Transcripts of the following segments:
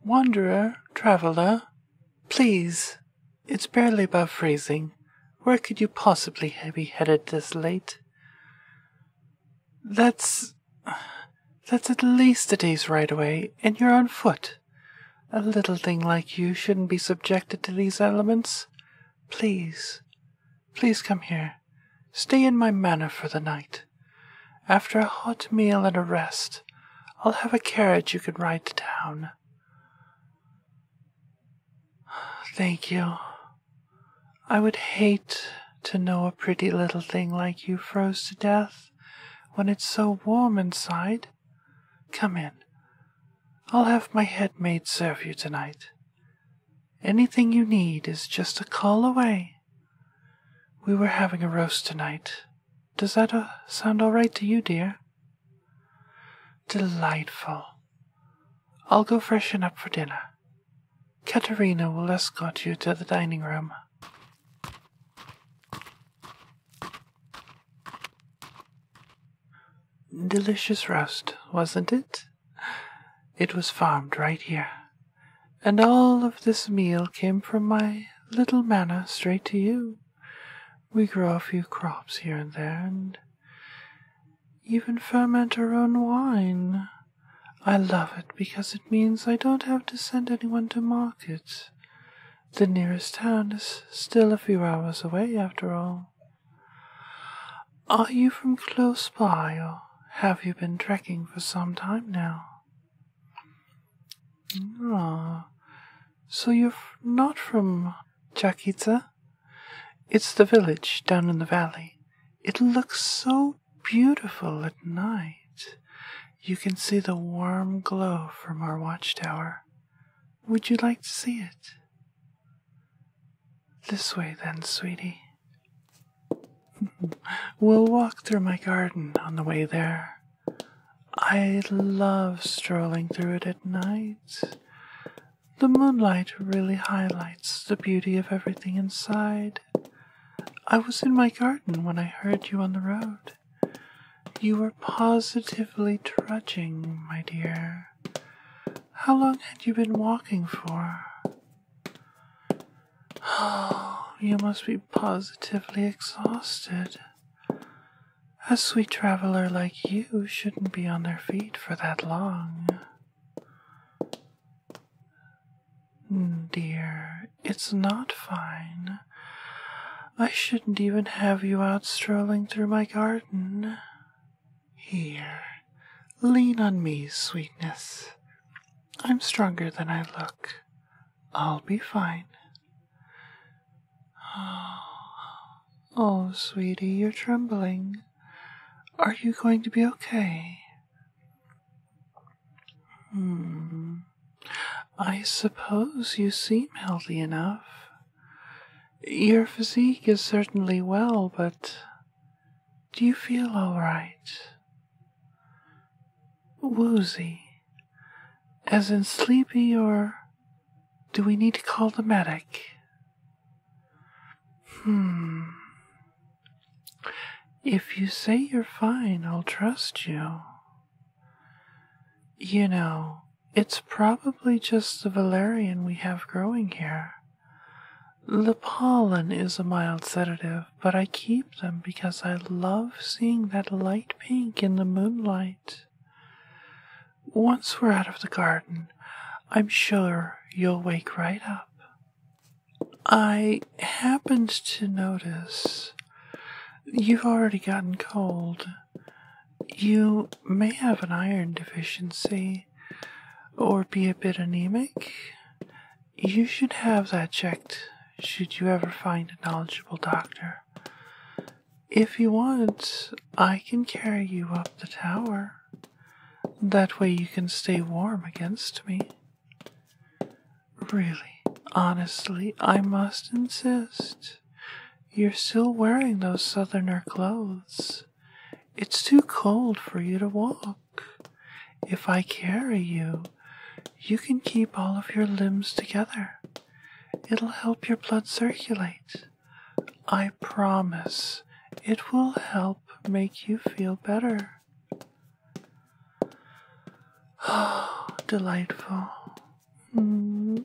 Wanderer, traveler, please. It's barely above freezing. Where could you possibly be headed this late? That's. that's at least a day's ride away, and you're on foot. A little thing like you shouldn't be subjected to these elements. Please, Please come here. Stay in my manor for the night. After a hot meal and a rest, I'll have a carriage you can ride to town. Thank you. I would hate to know a pretty little thing like you froze to death when it's so warm inside. Come in. I'll have my headmaid serve you tonight. Anything you need is just a call away. We were having a roast tonight. Does that uh, sound all right to you, dear? Delightful. I'll go freshen up for dinner. Katerina will escort you to the dining room. Delicious roast, wasn't it? It was farmed right here, and all of this meal came from my little manor straight to you. We grow a few crops here and there, and even ferment our own wine. I love it because it means I don't have to send anyone to market. The nearest town is still a few hours away, after all. Are you from close by, or have you been trekking for some time now? Ah, so you're not from Jakita? It's the village down in the valley. It looks so beautiful at night. You can see the warm glow from our watchtower. Would you like to see it? This way then, sweetie. we'll walk through my garden on the way there. I love strolling through it at night. The moonlight really highlights the beauty of everything inside. I was in my garden when I heard you on the road. You were positively trudging, my dear. How long had you been walking for? Oh, you must be positively exhausted. A sweet traveler like you shouldn't be on their feet for that long. Hmm, dear, it's not fine. I shouldn't even have you out strolling through my garden. Here, lean on me, sweetness. I'm stronger than I look. I'll be fine. Oh, oh, sweetie, you're trembling. Are you going to be okay? Hmm. I suppose you seem healthy enough. Your physique is certainly well, but do you feel alright? Woozy, as in sleepy, or do we need to call the medic? Hmm. If you say you're fine, I'll trust you. You know, it's probably just the valerian we have growing here. The pollen is a mild sedative, but I keep them because I love seeing that light pink in the moonlight. Once we're out of the garden, I'm sure you'll wake right up. I happened to notice you've already gotten cold. You may have an iron deficiency or be a bit anemic, you should have that checked should you ever find a knowledgeable doctor. If you want, I can carry you up the tower. That way you can stay warm against me. Really, honestly, I must insist. You're still wearing those southerner clothes. It's too cold for you to walk. If I carry you, you can keep all of your limbs together. It'll help your blood circulate. I promise it will help make you feel better. Oh, delightful. Mm.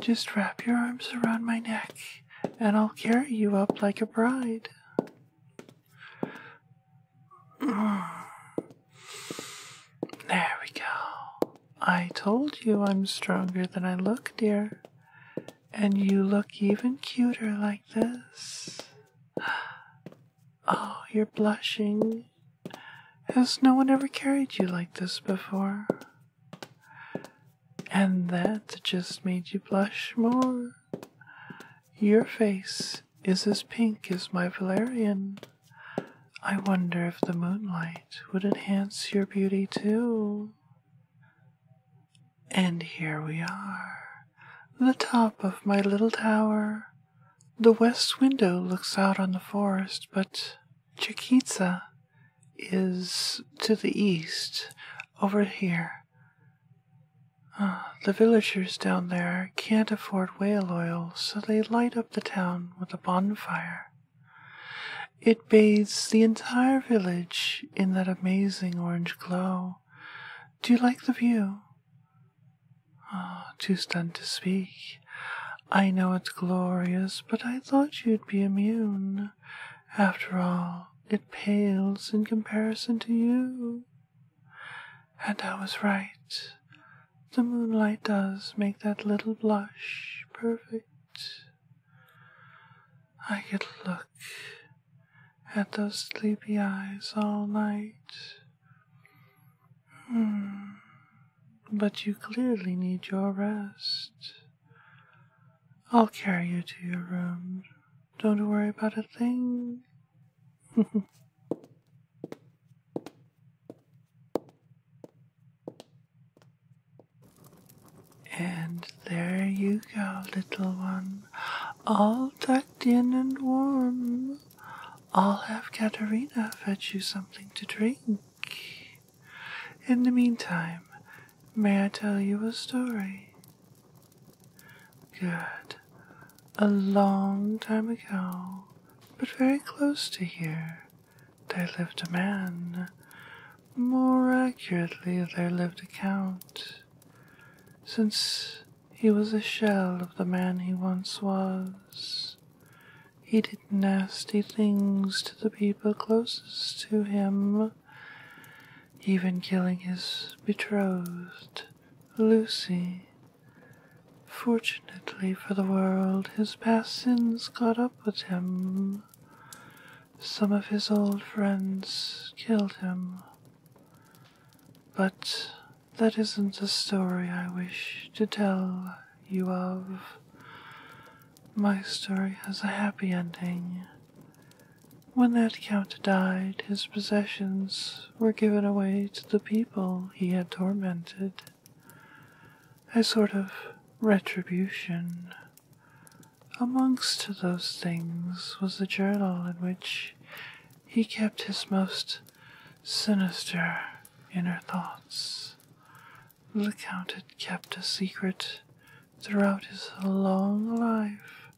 Just wrap your arms around my neck, and I'll carry you up like a bride. There we go. I told you I'm stronger than I look, dear. And you look even cuter like this. Oh, you're blushing. Has no one ever carried you like this before? And that just made you blush more. Your face is as pink as my valerian. I wonder if the moonlight would enhance your beauty too. And here we are, the top of my little tower. The west window looks out on the forest, but Chiquiza is to the east, over here. The villagers down there can't afford whale oil, so they light up the town with a bonfire. It bathes the entire village in that amazing orange glow. Do you like the view? Ah, too stunned to speak. I know it's glorious, but I thought you'd be immune. After all, it pales in comparison to you. And I was right. The moonlight does make that little blush perfect. I could look at those sleepy eyes all night. Hmm. But you clearly need your rest. I'll carry you to your room. Don't worry about a thing. and there you go, little one, all tucked in and warm. I'll have Katerina fetch you something to drink. In the meantime, may I tell you a story? Good. A long time ago, but very close to here, there lived a man. More accurately, there lived a count. Since he was a shell of the man he once was, he did nasty things to the people closest to him even killing his betrothed, Lucy. Fortunately for the world, his past sins caught up with him. Some of his old friends killed him. But that isn't the story I wish to tell you of. My story has a happy ending. When that count died, his possessions were given away to the people he had tormented. A sort of retribution. Amongst those things was the journal in which he kept his most sinister inner thoughts. The Count had kept a secret throughout his long life.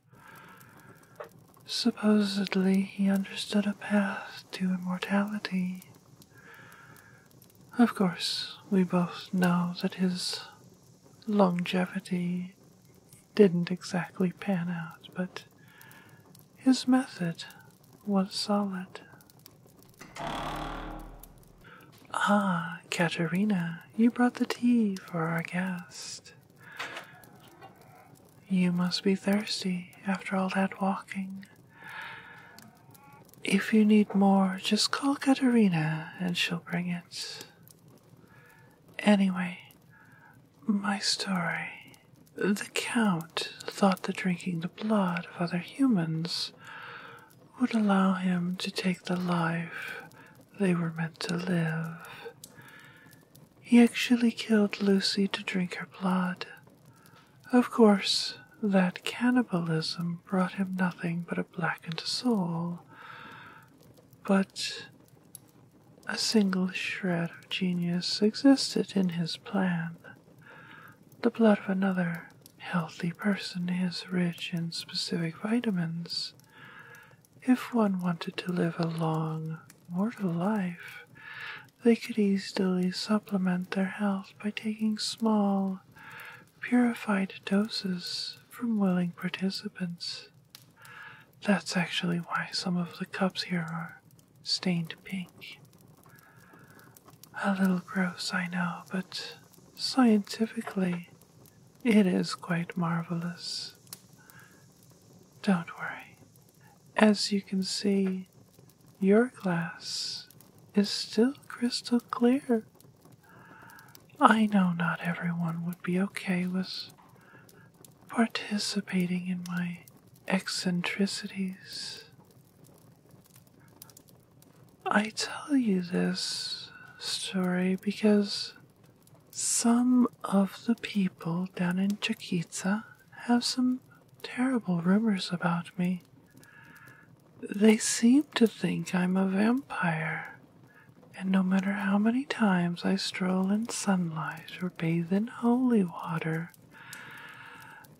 Supposedly, he understood a path to immortality. Of course, we both know that his longevity didn't exactly pan out, but his method was solid. Ah, Katerina, you brought the tea for our guest. You must be thirsty after all that walking. If you need more, just call Katerina and she'll bring it. Anyway, my story. The Count thought that drinking the blood of other humans would allow him to take the life they were meant to live. He actually killed Lucy to drink her blood. Of course, that cannibalism brought him nothing but a blackened soul, but a single shred of genius existed in his plan. The blood of another healthy person is rich in specific vitamins if one wanted to live a long, mortal life, they could easily supplement their health by taking small, purified doses from willing participants. That's actually why some of the cups here are stained pink. A little gross, I know, but scientifically, it is quite marvelous. Don't worry. As you can see, your glass is still crystal clear. I know not everyone would be okay with participating in my eccentricities. I tell you this story because some of the people down in Chiquiza have some terrible rumors about me. They seem to think I'm a vampire, and no matter how many times I stroll in sunlight or bathe in holy water,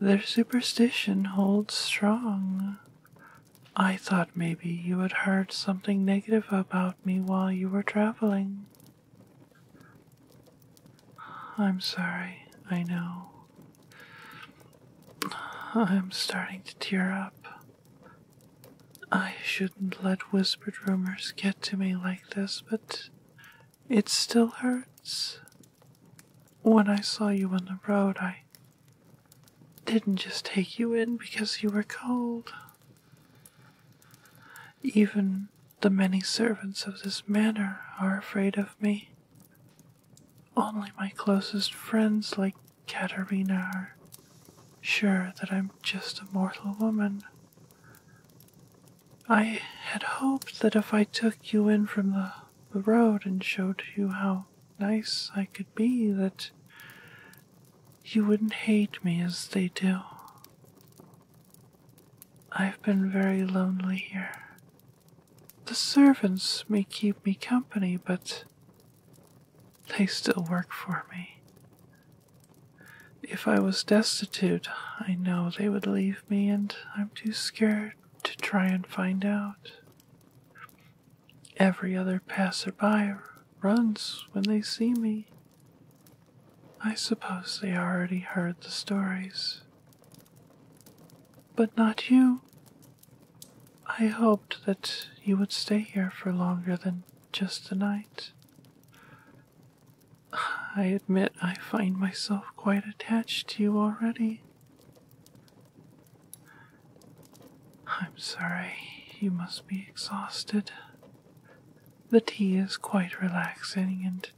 their superstition holds strong. I thought maybe you had heard some something negative about me while you were traveling. I'm sorry, I know. I'm starting to tear up. I shouldn't let whispered rumors get to me like this, but it still hurts. When I saw you on the road, I didn't just take you in because you were cold. Even the many servants of this manor are afraid of me. Only my closest friends, like Katerina, are sure that I'm just a mortal woman. I had hoped that if I took you in from the, road and showed you how nice I could be, that you wouldn't hate me as they do. I've been very lonely here. The servants may keep me company, but they still work for me. If I was destitute, I know they would leave me, and I'm too scared to try and find out. Every other passerby runs when they see me. I suppose they already heard the stories. But not you. I hoped that you would stay here for longer than just a night. I admit I find myself quite attached to you already. I'm sorry, you must be exhausted. The tea is quite relaxing, and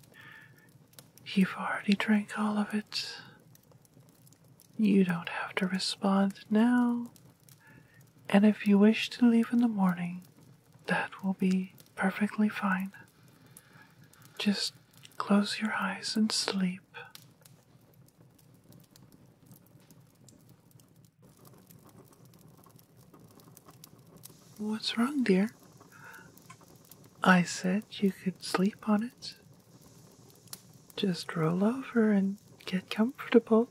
you've already drank all of it. You don't have to respond now. And if you wish to leave in the morning, that will be perfectly fine. Just close your eyes and sleep. What's wrong, dear? I said you could sleep on it. Just roll over and get comfortable.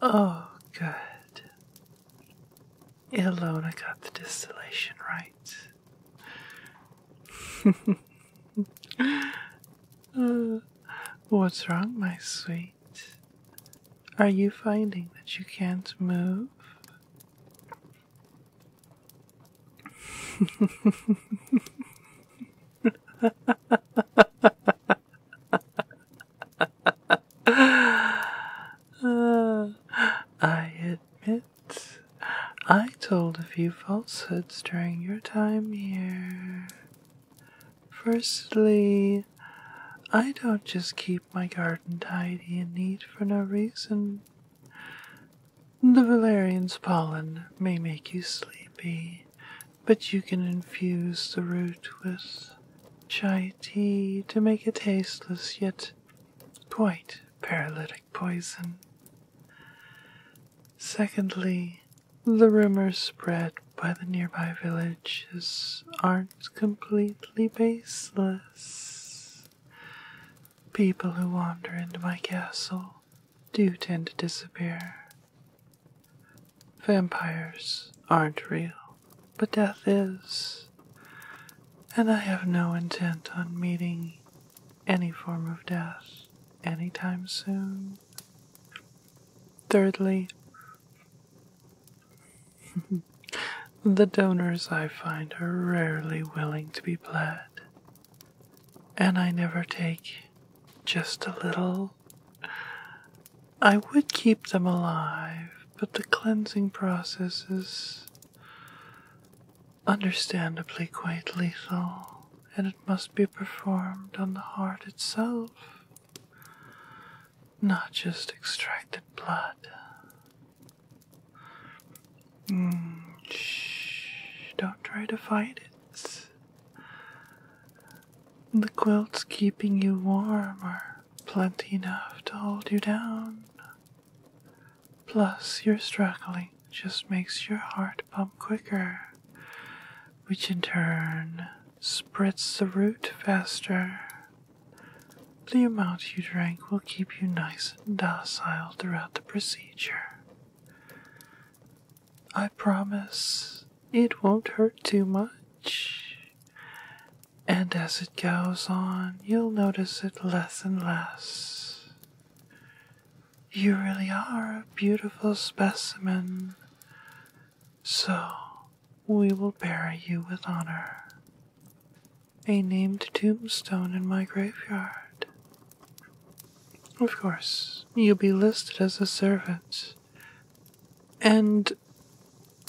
Oh, good. Ilona got the distillation right. Uh, what's wrong, my sweet? Are you finding that you can't move? I admit I told a few falsehoods during your time here. Firstly, I don't just keep my garden tidy and neat for no reason. The valerian's pollen may make you sleepy, but you can infuse the root with chai tea to make a tasteless yet quite paralytic poison. Secondly, the rumors spread by the nearby villages aren't completely baseless. People who wander into my castle do tend to disappear. Vampires aren't real, but death is. And I have no intent on meeting any form of death anytime soon. Thirdly, the donors I find are rarely willing to be blood, and I never take just a little. I would keep them alive, but the cleansing process is understandably quite lethal, and it must be performed on the heart itself not just extracted blood. Hmm, shh, don't try to fight it. The quilts keeping you warm are plenty enough to hold you down. Plus, your struggling just makes your heart pump quicker, which in turn spreads the root faster. The amount you drink will keep you nice and docile throughout the procedure. I promise it won't hurt too much. And as it goes on, you'll notice it less and less. You really are a beautiful specimen so we will bury you with honor. A named tombstone in my graveyard. Of course, you'll be listed as a servant. And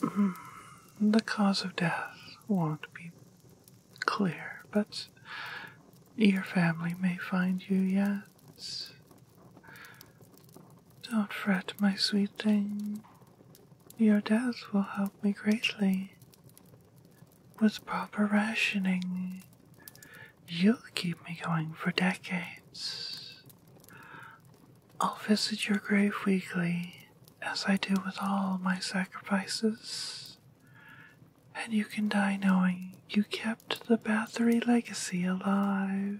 hmm, the cause of death won't be clear, but your family may find you yet. Don't fret, my sweet thing. Your death will help me greatly. With proper rationing, you'll keep me going for decades. I'll visit your grave weekly, as I do with all my sacrifices, and you can die knowing you kept the Bathory legacy alive.